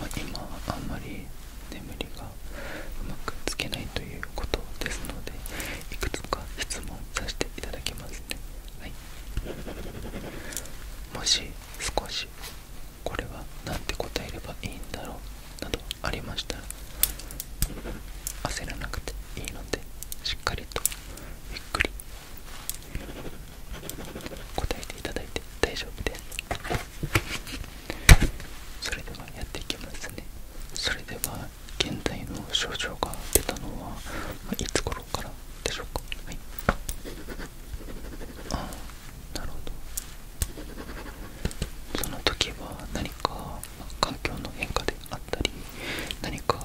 ま今はあんまり眠りがうまくつけないということですのでいくつか質問させていただきますねはいもし少しこれは何て答えればいいんだろうなどありましたら焦らなくていいのでしっかりとゆっくり答えていただいて大丈夫ですそれではやっていきますねそれでは現在の症状が出たのは、いつ頃からでしょうかはいああなるほどその時は何か、環境の変化であったり何か、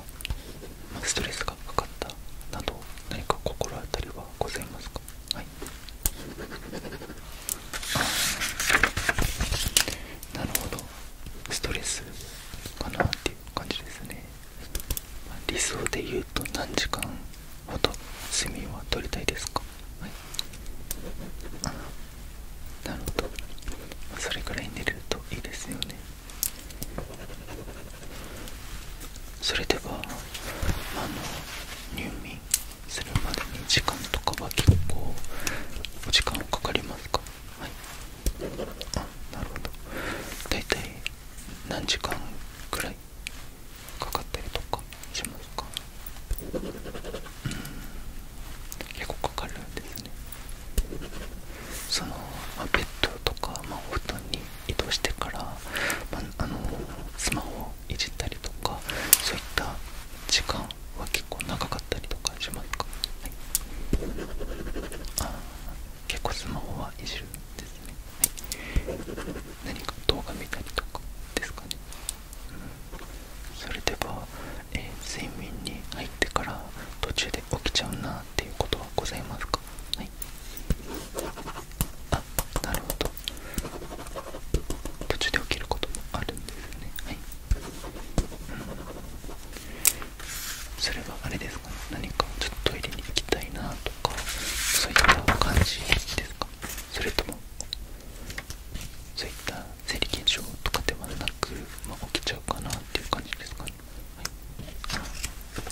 ストレスがかかったなど何か心当たりはございますかはいはい、なるほどストレスかなっていう感じですね理想で言うと何時間ほど睡眠は取りたいですかはいなるほどそれくらい寝るといいですよねそれではあの入眠するまでに時間とかは結構お時間かかりますかはいあなるほど大体何時間くらいかかったりとかしますかうん結構かかるんですねその、まあ、ベッドとか、まあ、お布団に移動してから、あ、のスマホをいじったりとかそういった時間は結構長かったりとかしますか、はい、あ結構スマホはいじるんですね、はい、何か動画見たりとかですかね、うん、それでは、え睡眠に入ってから途中で起きちゃうなっていうことはございますかはいあなるほど途中で起きることもあるんですねはい、うん、それはあれですかね何かちょっとトイレに行きたいなとかそういった感じですかそれともそういった生理現象とかではなく、まあ、起きちゃうかなっていう感じですかねはい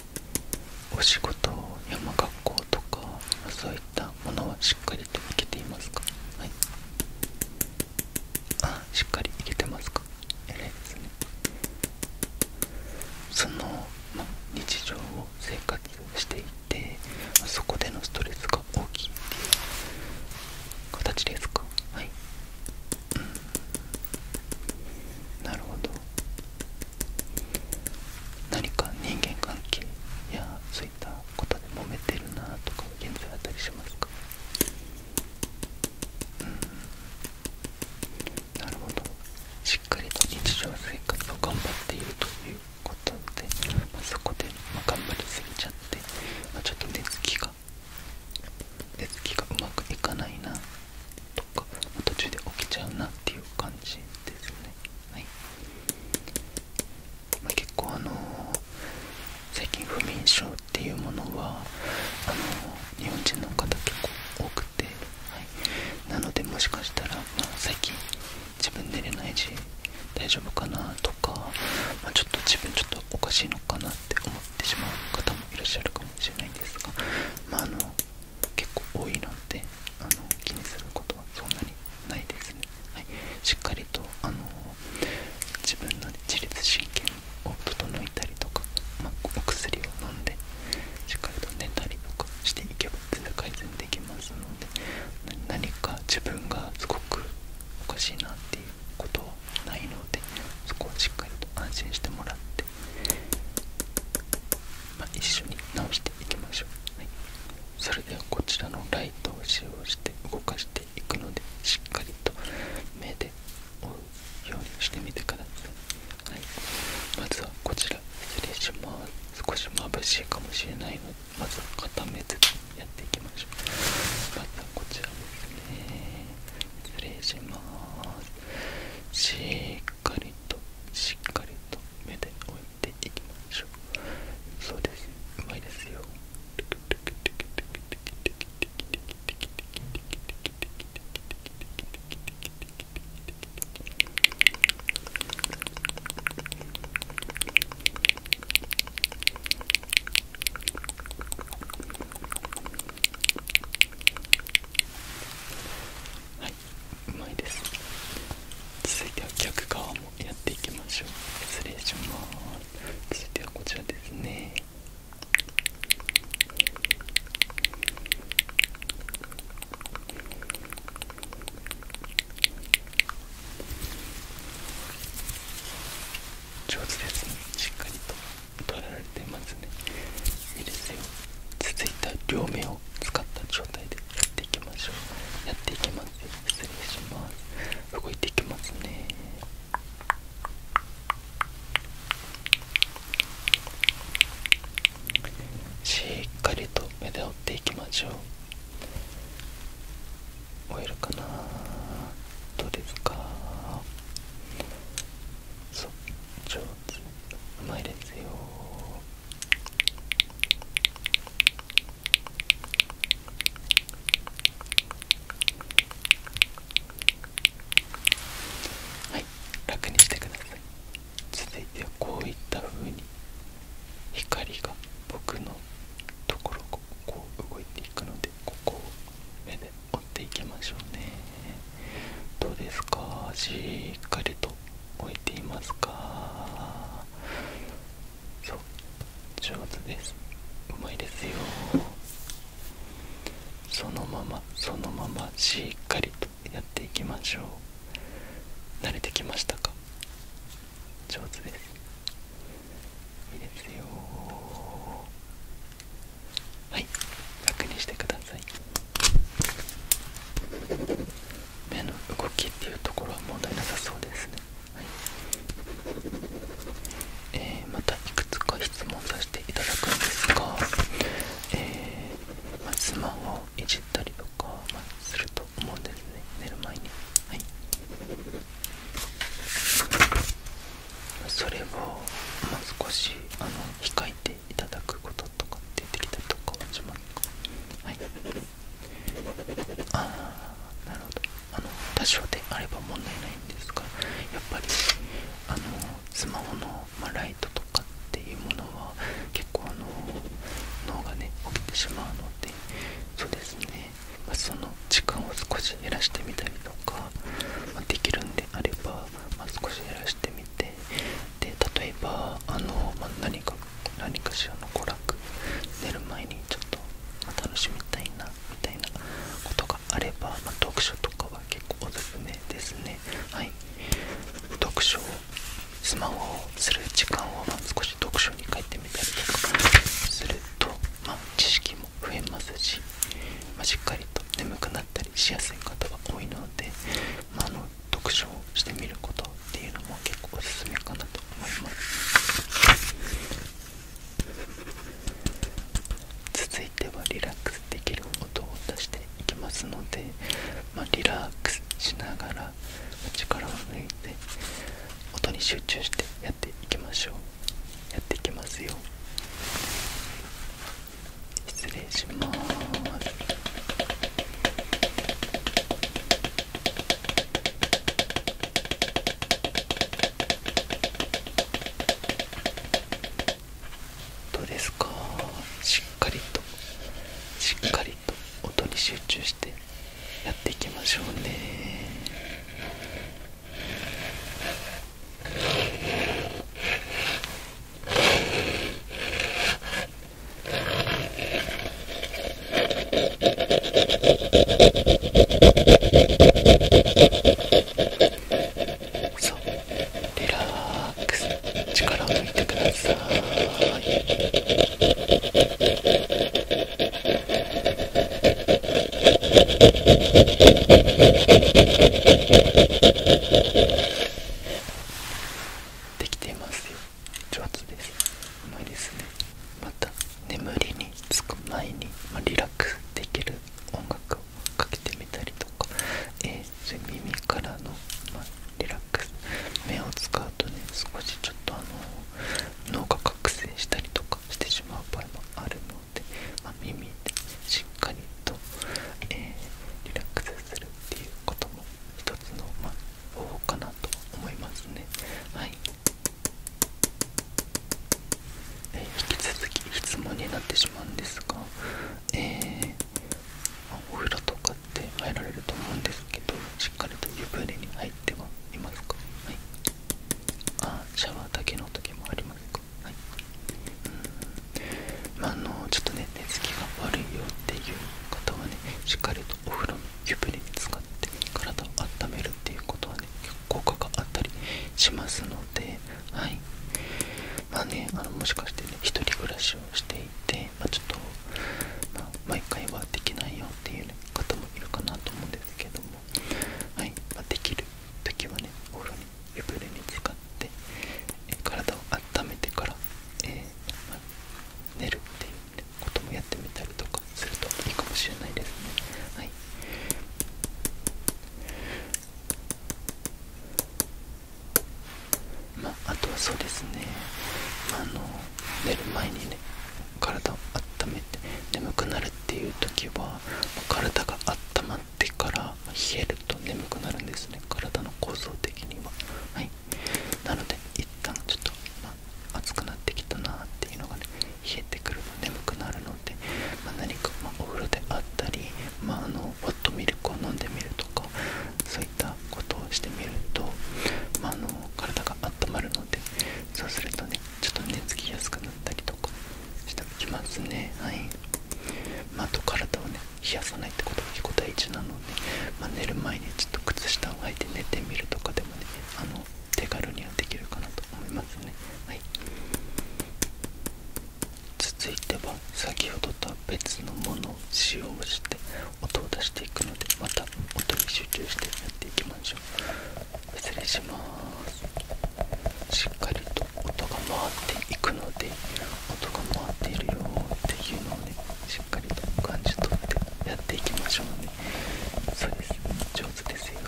お仕事山学校とかそういったものはしっかりといけていますかはいあしっかりいけてますか偉いですねその、ま、日常を生活していてそこでのストレスが大きいっていう形ですかはいうんなるほど何か人間関係やそういったことで揉めてるなとか現在あったりしますかうんなるほどしっかりと日常生活を頑張っているということで、まそこで、ま頑張りすぎちゃって、まちょっと寝つきが寝つきがうまくいかないなとか途中で起きちゃうなっていう感じですねま結構あの最近不眠症っていうものはあの日本人の方結構多くて、はい、なのでもしかしたら、まあ、最近自分寝れないし大丈夫かなとか、まちょっと自分ちょっとおかしいのかなって思ってしまう方もいらっしゃるかもしれないんですがまあの結構多いのであの気にすることはそんなにないですね、はい、しっかりとあの自分の自律神経を整えたりとか、まお薬を飲んでしっかりと寝たりとかしていけば全然改善できますので何か自分がすごくおかしいなっていうことはないのでそこはしっかりと安心してもらってま一緒に直していきましょう、はい、それではこちらのライトを使用して動かしていくのでしっかりと目で追うようにしてみてください、まずはこちら失礼します少し眩しいかもしれないのでまずは片目ずつやっていきましょうまずはこちらですね失礼しますしっかりとしっかりと目で追いそうですうまいですよはいうまいです続いては逆側もやっていきましょう失礼します続いてはこちらですね上手ですねしっかりと取られてますねいいです続いた両目を使った状態でやっていきましょうやっていきます失礼します動いていきますねしっかりと目で追っていきましょう終えるかなどうですかそう上手うまいですよはい楽にしてください続いてはこういった風に光が僕のところをこう動いていくのでここを目で追っていきましょうねどうですかしっかりと置いていますかそう上手ですうまいですよそのままそのまましっかりとやっていきましょう慣れてきましたか上手ですいいですよはい楽にしてください目の動きっていうところは問題なさそうですね、はいえまたいくつか質問させていただくんですが、えーまあ、をいじったりとか、ますると思うんですね寝る前に、はい、それを、まあ、少しあの控えていただくこととかってきたりとかはしますかはいああなるほどあの多少であれば問題ないんですがやっぱりあのスマホの、まライトとかっていうものは結構あの脳がね起きてしまうのでそうですね、その時間を少し減らしてみたりとか、まできるんであれば、ま少し減らしてみてで例えばあの、まあ、何か何かしらの娯楽寝る前にちょっと、楽しみたいなみたいなことがあれば、ま読書とかは結構おすすめですねはい読書をスマホをする時間を、まあ、少し読書に変えてみたりとかすると、ま知識も増えますし、ましっかりと眠くなったりしやすい方が多いので、まあ、読書をしてみることっていうのも結構おすすめかなと思います続いてはリラックスできる音を出していきますので、まあ、リラックスしながら力を抜いて音に集中してやっていきましょうやっていきますよ失どうですかしっかりとしっかりと音に集中してやっていきましょうねはそうリラックス力を抜いてくださいできていますよ上手ですうまいですねまた眠りにつく前に、まリラックスできる音楽をかけてみたりとか、え耳からの、まリラックス目を使うとね少しちょっとあの脳が覚醒したりとかしてしまう場合もあるので、ま耳でしっかりと、えリラックスするっていうことも一つの、まあ、おうかなと思いますねはい、引き続き質問になってしまうんですがえー、お風呂とかって入られると思うんですけどしっかりと湯船に入ってはいますかはいあシャワーだけの時もありますかはいうんまあのちょっとね寝つきが悪いよっていう方はねしっかりとお風呂の湯船にかって体を温めるっていうことはね効果があったりしますのではいまあねあのもしかしてね1人暮らしをしていて、まちょっと、毎回はできないよっていう、方もいるかなと思うんですけどもはい、まできる時はねお風呂に湯船にかってえ体を温めてから、えー寝るっていうこともやってみたりとかするといいかもしれないですねはいまああとはそうですね、あ、の寝る前にね体を温めて眠くなるっていう時は体が温まってから冷えると眠くなるんですね体の構造的にははいなので一旦ちょっと、暑くなってきたなっていうのがね冷えてくると眠くなるので、ま何か、まお風呂であったり、まあ、あのホットミルクを飲んでみるとかそういったことをしてみると、あ、の体が温まるのでそうするとねちょっと寝つきやすくなったりとかしてきますねはい、ま体冷やさないってことが結構大事なので、ま寝る前にちょっと靴下を履いて寝てみるとかでもねあの手軽にはできるかなと思いますね、はい、続いては先ほどとは別のものを使用して音を出していくのでまた音に集中してやっていきましょう失礼しますしっかりと音が回っていくので音が回っているよっていうのをねしっかりと感じ取ってやっていきましょうねそうです上手ですよ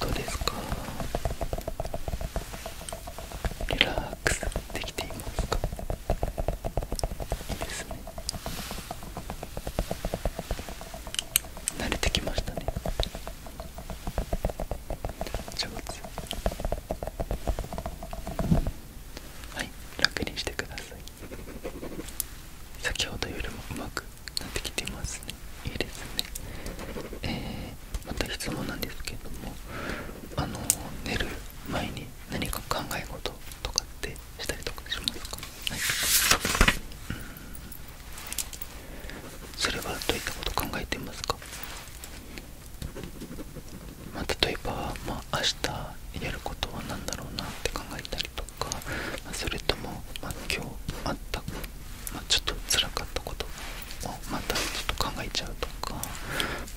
どうですかリラックスできていますかいいですね慣れてきましたね上手はい楽にしてください先ほどよりもうまくなってきてますねいいですねえー、また質問なんですけどもあの寝る前に何か考え事とかってま例えば、ま明日やることは何だろうなって考えたりとか、まそれとも、ま今日あった、まちょっとつらかったことをまたちょっと考えちゃうとか、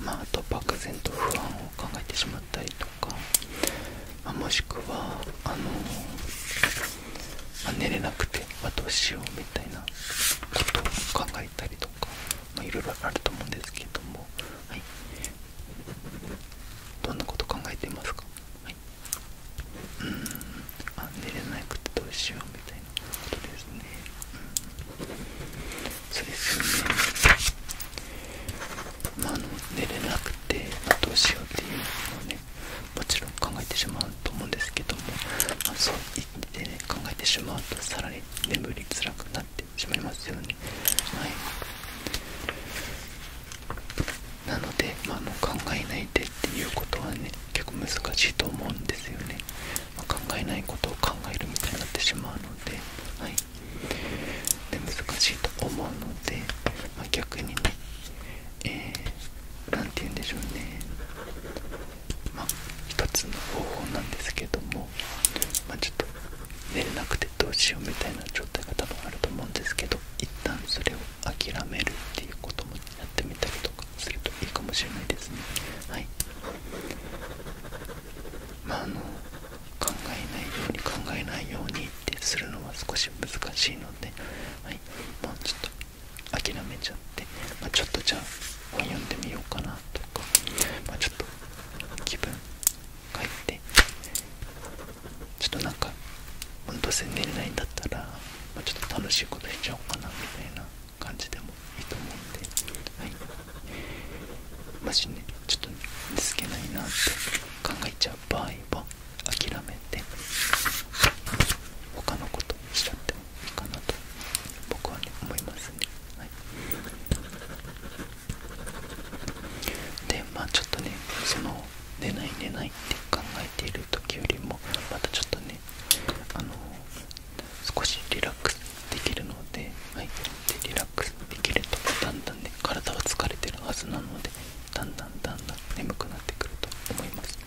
まあ、と漠然と不安を考えてしまうたりとか、まあ、もしくはあの、あ、寝れなくて、あ、どうしようみたいなことを考えたりとか、まあ、いろいろあると思うんですけども、はい、どんなこと考えていますか、はい、うんあ寝れなくてどうしようみたいなことですね。そうですねまあ、の寝れなくて、まどうしようっていうのをねもちろん考えてしまうと思うんですけども、まそう言って、ね、考えてしまうとさらに眠りづらくなってしまいますよね。はいなので、まあ、の考えないでっていうことはね結構難しいと思うんですよね、ま考えないことを考えるみたいになってしまうので、はいで難しいと思うので、ま逆にねえー、て言うんでしょうねまあ一つの方法なんですけどもまちょっと寝れなくてどうしようみたいな状態が多分あると思うんですけど一旦それを諦めるっていうこともやってみたりとかするといいかもしれないですねはいまああの考えないように考えないようにってするのは少し難しいので、はい、もちょっと諦めちゃって、まちょっとじゃあ本読んでみようかなとか、まあ、ちょっと気分変えてちょっとなんかどうせ寝れないんだったら、まちょっと楽しいことっちゃおうかなみたいな感じでもいいと思うんで、はい、もしねちょっと見つけないなって考えちゃうゃう場合は諦のことしちゃってもいいかなと僕は、ね、思いますね、はでまあちょっとねその寝ない寝ないって考えている時よりもまたちょっとねの少しリラックスできるので、はい、でリラックスできるとだんだんた体は疲れてるはずなのでだんだんだんだん眠くなってくると思います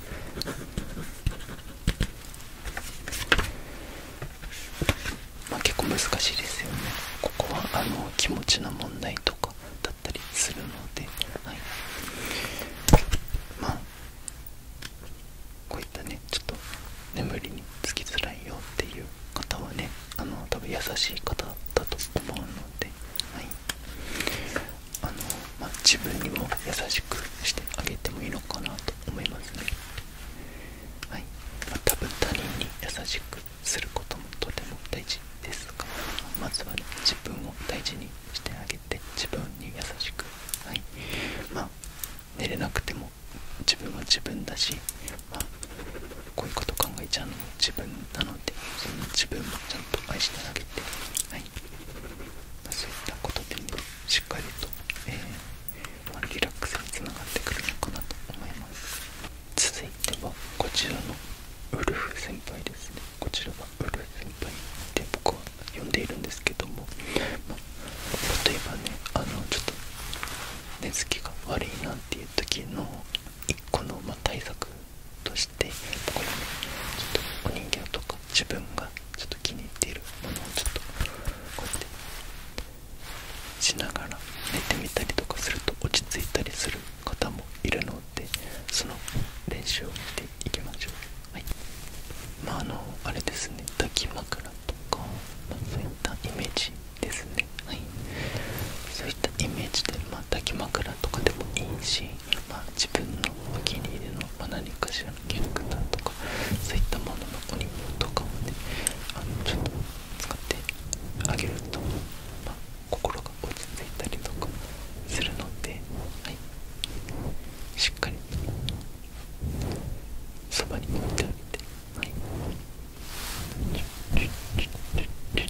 まあ結構難しいですよねここはあの気持ちの問題とかだったりするので、はい、まあこういったねちょっと眠りにつきづらいよっていう方はねあの多分優しい方だと思うので、あのま自分にも優しくしてあげてもいいのかなと思いますね、はいま多分他人に優しくすることもとても大事ですがまずは、ね、自分を大事にしてあげて自分に優しく、はいま寝れなくても自分は自分だし、まあ、こういうこと考えちゃうのも自分なのでその自分もちゃんと愛してあげて、はいまそういったことで、ね、しっかりと、えまリラックスにつながってくるのかなと思います続いてはこちらのウルフ先輩ですねこちらはウルフ先輩って僕は呼んでいるんですけども、例えばねあのちょっと寝つきが悪いなっていう時の一個のま対策としてこれねちょっとお人形とか自分がちょっと気に入っているものをちょっとこうやってしながら寝てみたりとかすると落ち着いたりする方もいるのでその練習を見ていきましょうはいまああのあれですね抱き枕とか、まそういったイメージですねはいそういったイメージで、まあ、抱き枕とかでもいいし、まあ、自分のお気に入りの、まあ、何かしらのキャラクターとかそういったもののお荷物とかをねあのちょっと使ってあげると、まあ、心が落ち着いたりとかするので、はい、しっかりそばに置いてあげてはい。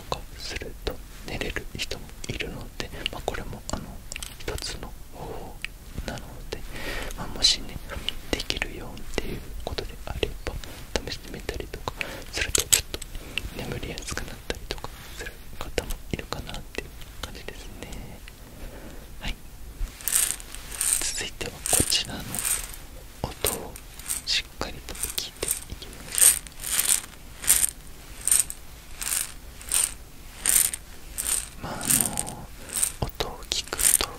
とかすると寝れる人もいるので、まあ、これもあの一つの方法なので、まあ、もしねできるよっていうことであれば試してみたりとかするとちょっと眠りやすくなったりとかする方もいるかなっていう感じですねはい続いてはこちらの音をししっかりと拭いていきますまああの音を聞くと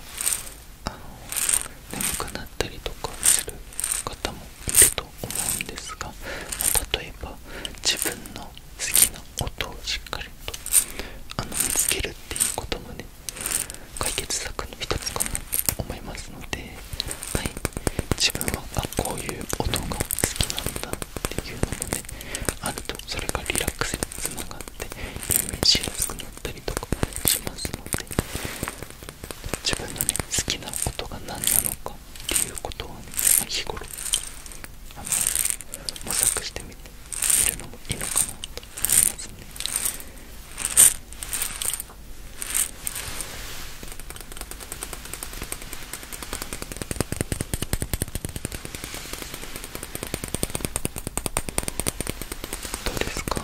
あの眠くなったりとかする方もいると思うんですが、例えば自分の好きな音をしっかりとあの見つけるっていうこともね解決策の一つかなと思いますのではい、自分はこういう音が好きなんだっていうので、あるとそれがリラックスにつながって入眠しやすくなったりとかしますので自分のね好きな音が何なのかっていうことはねまあ、日頃あの模索してみてみるのもいいのかなと思いますねどうですか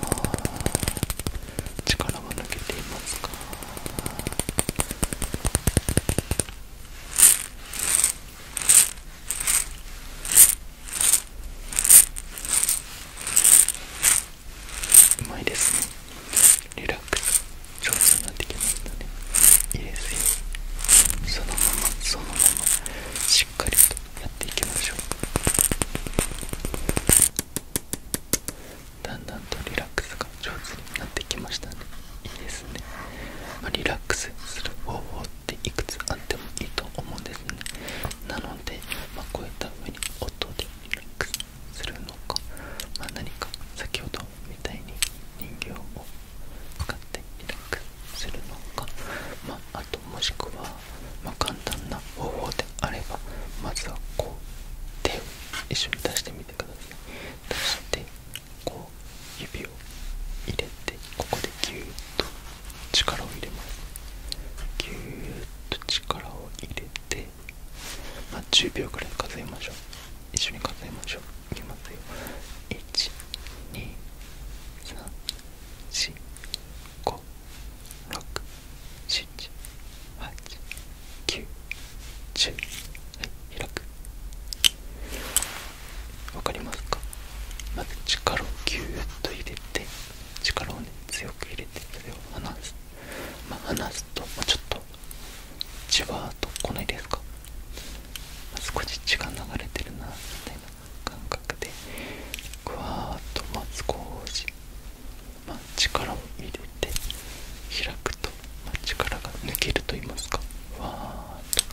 力は抜けていますかうまいですねリラックス上手になってきましたねいいですよそのままそのまましっかりとやっていきましょうだんだんとリラックスが上手になってきましたねいいですね、まリラックスする方法っていくつあってもいいと思うんですねなので、まあ、こういった風に音でリラックスするのか、まあ、何か先ほどみたいに人形を使ってリラックするのか、まあ、あともしくは、ま簡単な方法であればまずはこう手を一緒に出してみてください出してこう指を入れてここでギューッと力を入れますギューッと力を入れてまあ、10秒くらい数えましょう一緒に数えましょういきますよ12345678910はい開くわかりますかまず力をぎゅーっと入れて力をね強く入れてそれを離すまあ、すと、まちょっとじわーっと来ないですか、まあ、少し血が流れてるなみたいな感覚でふわーっと、まあ、少し、ま力を入れて開くと、ま力が抜けると言いますかふわーっ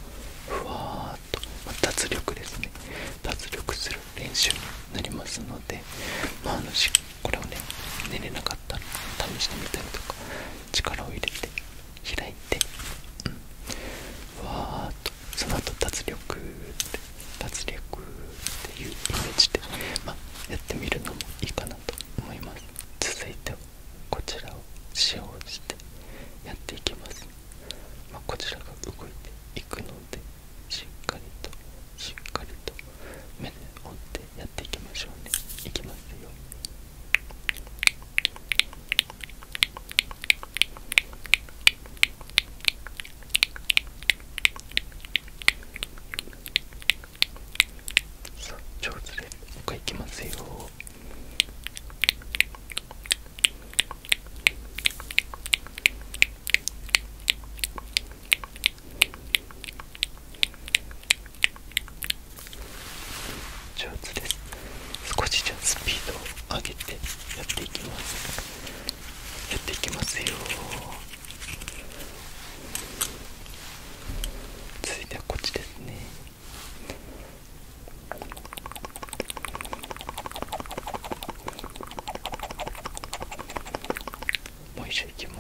とふわーっと、ま脱力ですね脱力する練習になりますので、まあ、あのしこれをね寝れなかったら試してみたりとか力を入れて開いて、うん、わーっとその後脱力って脱力っていうイメージで、まやってみるのもいいかなと思います続いてはこちらを使用してやっていきます、まこちらが動いていくのでしっかりとしっかりと目で追ってやっていきましょうねいきますよそう上手でもう一回いきますよ上手です少しじゃあスピードを上げてやっていきますやっていきますよ続いてはこっちですねもう一緒いきます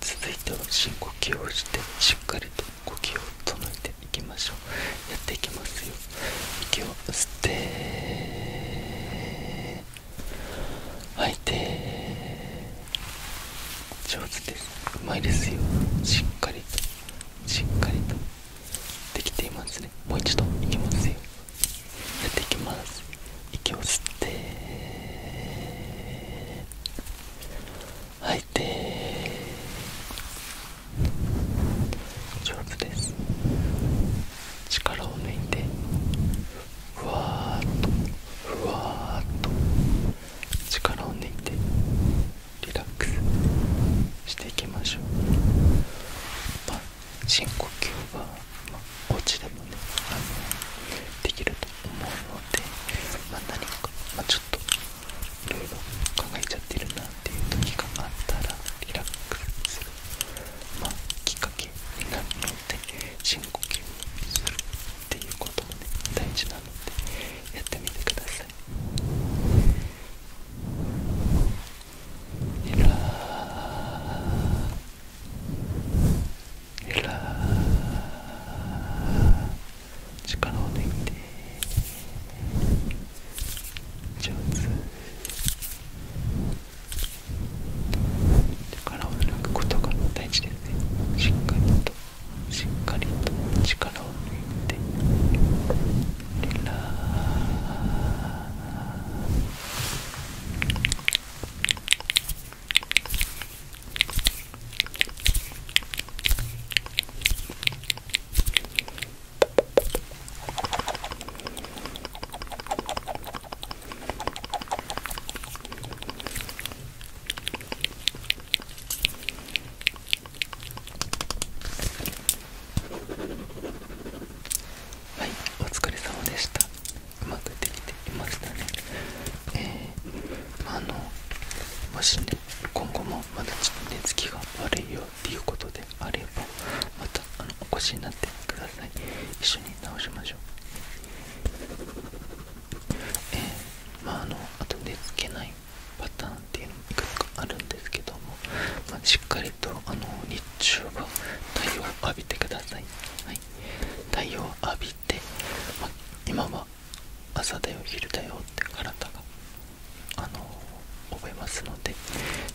続いては深呼吸をしてしっかりと呼吸を整えていきましょうやっていきますよ息を吸って吐いて上手ですうまいですよしっかりとしっかりとできていますねもう一度いきますよやっていきます息を吸って吐いて丈夫です力を抜いてふわっとふわっと力を抜いてリラックスしていきましょう、深呼吸は、まあ、お家でもねあのできると思うので、ま何か、まちょっといろいろ考えちゃってるなっていう時があったらリラックスまあ、きっかけになるので深呼吸をするっていうこともね大事なのでやってみてくださいえら。えら。力を抜いて上手力を抜くことが大事ですねしっかりとしっかりと力を抜いてリラはいお疲れ様でしたうまくできていましたねえあ、のもしね今後もまだちょっと寝つきが悪いように。っていうことであればまたあのお越しになってください一緒に直しましょうえー、まああの後でつけないパターンっていうのもいくつかあるんですけども、ましっかりとあの日中は太陽を浴びてください、はい、太陽を浴びて、ま今は朝だよ昼だよって体があの覚えますので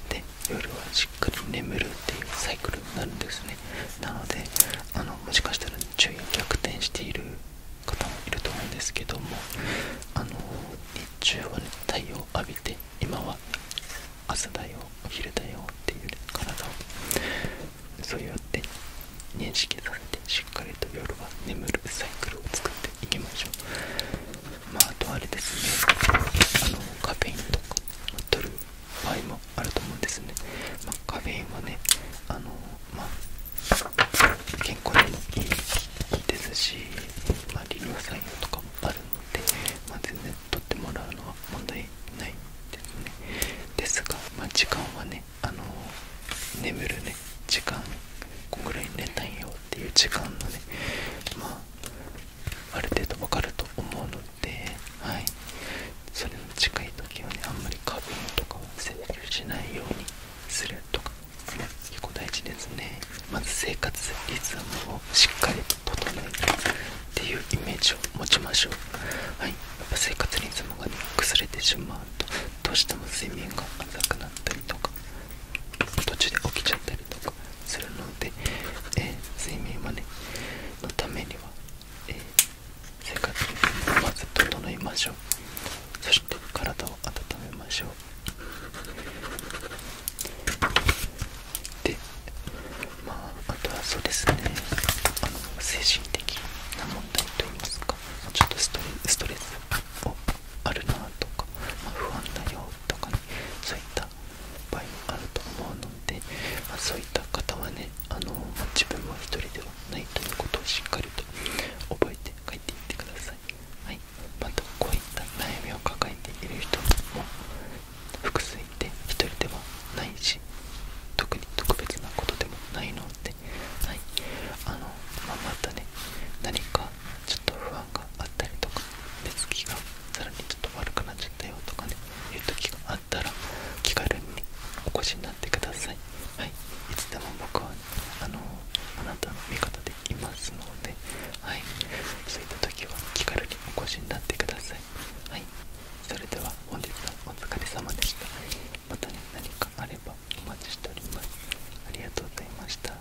で夜はしっかり眠るっていうサイクルになるんですねなのであのもしかしたら昼夜逆転している方もいると思うんですけどもあの日中は、ね、太陽を浴びて今は朝だよお昼だよっていう、体をそうやって認識させてしっかりと夜は眠るサイクルを作っていきましょうまあとあれですねあのカフェインとか取る場合もあると思うんですね、まあ、カフェインはねあのまあ健康にもいいですし、まあ、利尿作用とかもあるので、まあ、全然取ってもらうのは問題ないですねですが、まあ、時間はねあの眠るね時間こんぐらい寝たいよっていう時間のねある程度わかると思うので、はい、それの近い時はねあんまり花粉とかは接触しないようにするとか、結構大事ですねまず生活リズムをしっかりと整えてっていうイメージを持ちましょう、はい、やっぱ生活リズムがね崩れてしまうとどうしても睡眠が浅くなったりとか途中で起きちゃったりとかするので、えー、睡眠はねのためには、えー、生活をまず整いましょうそして体を温めましょうでまああとはそうですねあの精神的な問題といいますかちょっとストレスをあるなとか、まあ、不安だよとかそういったぱいあると思うので、まそういった方はねあの、自分は一人ではないということをしっかりと覚えて帰っていってください、はい、またこういった悩みを抱えている人も複数いて一人ではないし特に特別なことでもないので、はいあのままたね何かちょっと不安があったりとか寝つきがさらにちょっと悪くなっちゃったよとかねいう時があったら気軽にお越しになってくださいはいいつでも僕は、あのあなたの味方でいますのではいそういった時は気軽にお越しになってくださいはいそれでは本日はお疲れ様でしたまたね何かあればお待ちしておりますありがとうございました